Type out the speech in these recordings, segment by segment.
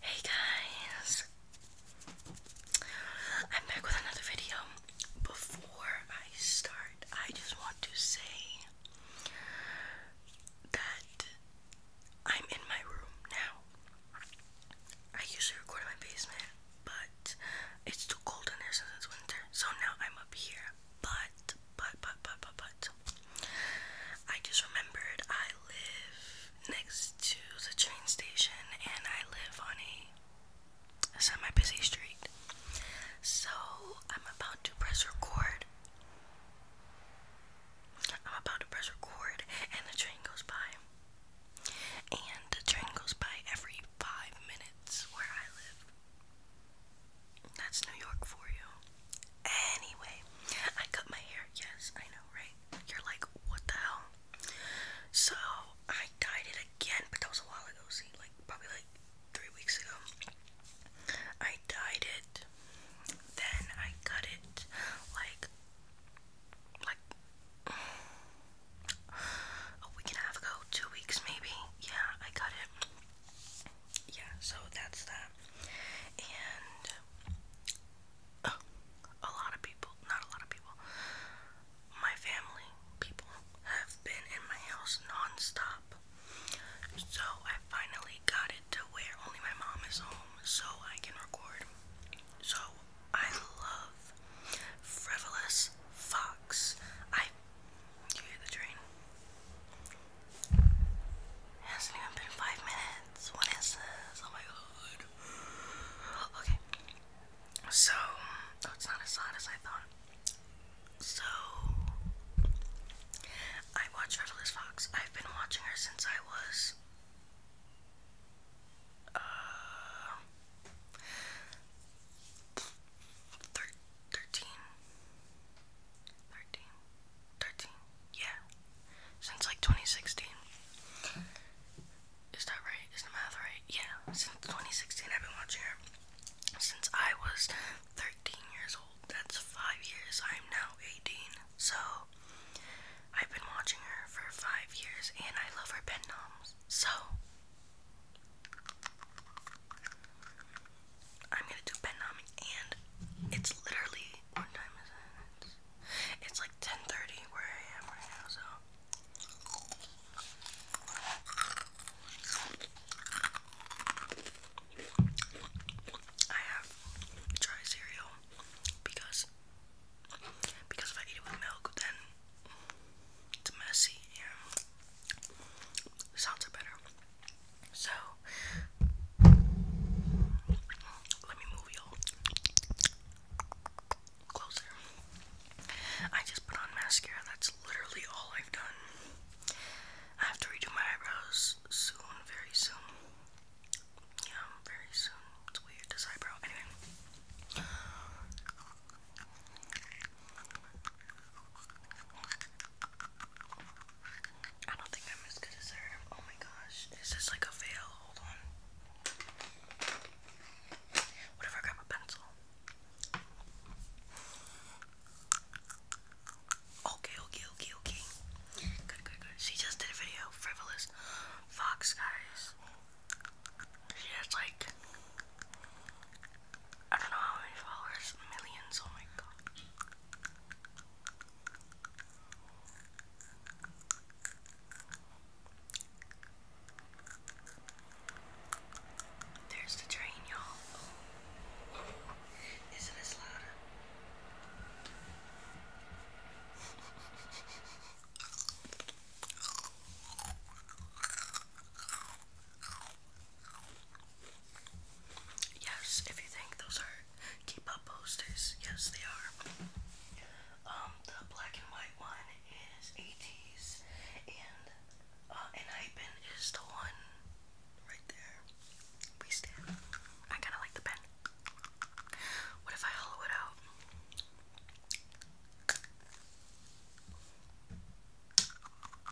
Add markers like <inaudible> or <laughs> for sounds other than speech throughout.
Hey guys! I'm back with another video. Before I start, I just want to say that I'm in my room now. I usually record in my basement, but it's too cold in there since it's winter, so now I'm up here. But, but, but, but, but, but, I just remembered I live next to the train station and I live on a, semi busy street. So I'm about to press record. I'm about to press record and the train goes by. And the train goes by every five minutes where I live. That's New York for you. Anyway, I cut my hair. Yes, I know, right? You're like, what the hell? So I dyed it again, but that was a while ago. See, like probably like three weeks ago. I dyed it. Then I cut it like like a week and a half ago, two weeks maybe. Yeah, I cut it. Yeah, so that's that. And Oh, a lot of people, not a lot of people, my family people have been in my house non So I finally got it to where only my mom is home so I can record. So I love Frivolous Fox. I you hear the train? It hasn't even been five minutes. What is this? Oh my god. Okay. So, oh, it's not as hot as I thought. So, I watch Revelous Fox. I've been watching her since I was. Uh, 13 13 13 yeah, since like 2016. Is that right? Is the math right? Yeah, since 2016 I've been watching her. Since I was 13 years old, that's five years. I'm now 18, so I've been watching her for five years, and I love her pen noms. So I'm gonna do pen and it's literally what time is it? It's, like 10:30 where I am right now, so I have dry cereal because because if I eat it with milk then it's messy and sounds better. So let me move y'all closer. I just put on mascara. That's literally all I've done. I have to redo my eyebrows soon, very soon. Yeah, very soon. It's weird, this eyebrow. Anyway. I don't think I'm as good as her. Oh my gosh. This is like a fail. Hold on. What grab a pencil? Okay, okay, okay, okay. Good, good, good. She just did a video. Frivolous Fox, guys. She has like, I don't know how many followers. Millions. Oh my god. There's the train, y'all. Is it as loud? Yes, if you think those are keep up posters, yes they are. Um, the black and white one is AT's and uh, and hyphen is the one right there. We stand. I kinda like the pen. What if I hollow it out?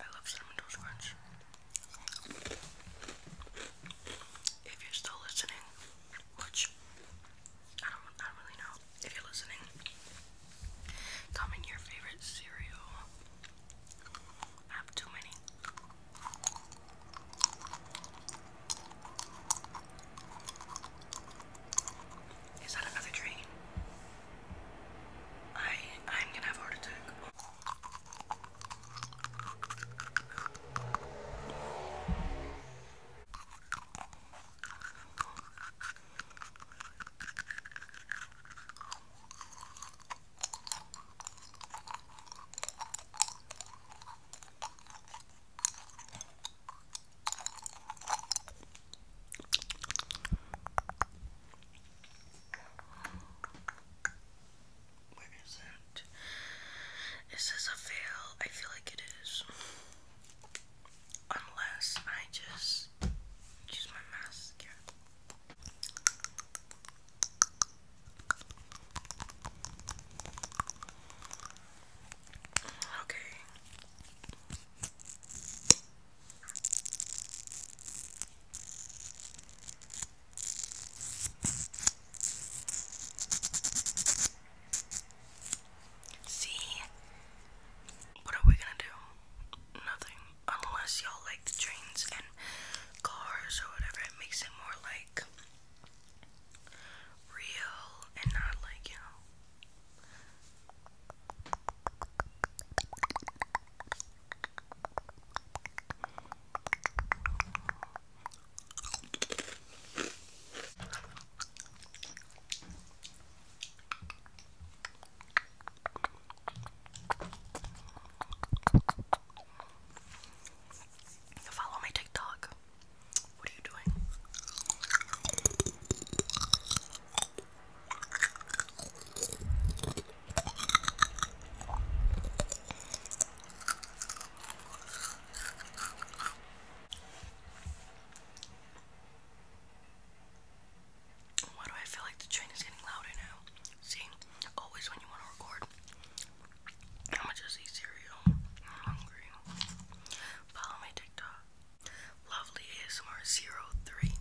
I love cinnamon toast crunch. If you're still listening, which I don't, I don't really know. If you're listening, comment your favorite cereal. I have too many. Is that another dream? I I'm gonna have a heart where is it? Is this a fail? I feel like it is. Unless I just use my mascara. Okay. See, what are we gonna do? Nothing, unless y'all like the trains and cars or whatever. It makes it more like real and not like you know Follow my TikTok. What are you doing? Why do I feel like the train is getting louder now? See, always when you want to record, I'm just eat cereal. I'm hungry. Follow my TikTok. Lovely ASMR 03.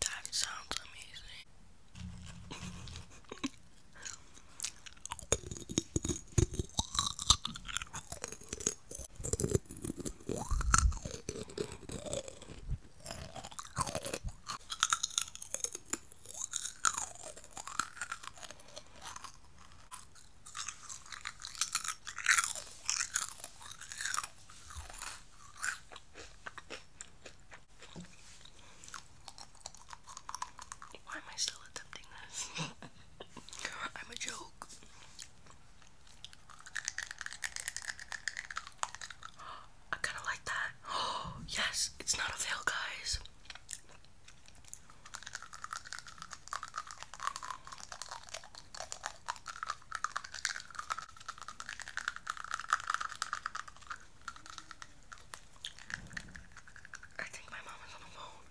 That sounds amazing. <laughs> Why am I still attempting this? <laughs> <laughs> I'm a joke. I kind of like that. Oh, <gasps> yes, it's not a fail, guys. I think my mom is on the phone.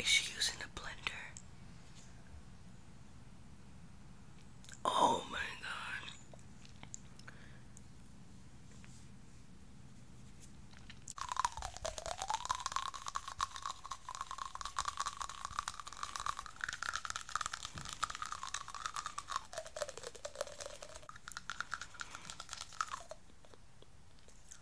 Is she using a blender? Oh my god.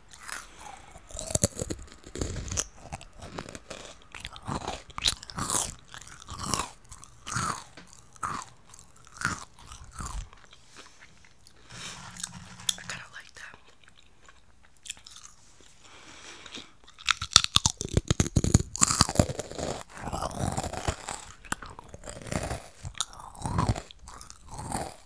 I kind of like that.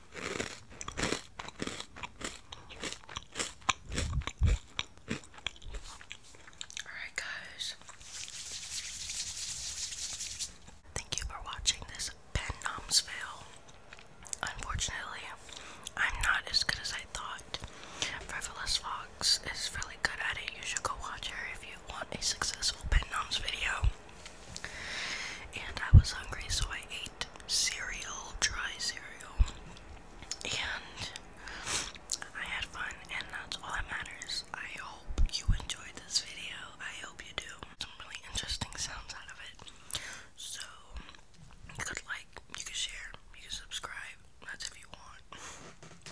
Alright, guys. Thank you for watching this pen Noms fail. Unfortunately, I'm not as good as I thought. Frivolous Fox is really good at it. You should go watch her if you want a successful pen Noms video. And I was hungry, so I ate cereal, dry cereal, and I had fun, and that's all that matters. I hope you enjoyed this video. I hope you do. Some really interesting sounds out of it. So you could like, you could share, you could subscribe. That's if you want.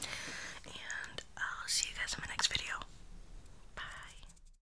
And I'll see you guys in my next video. Bye.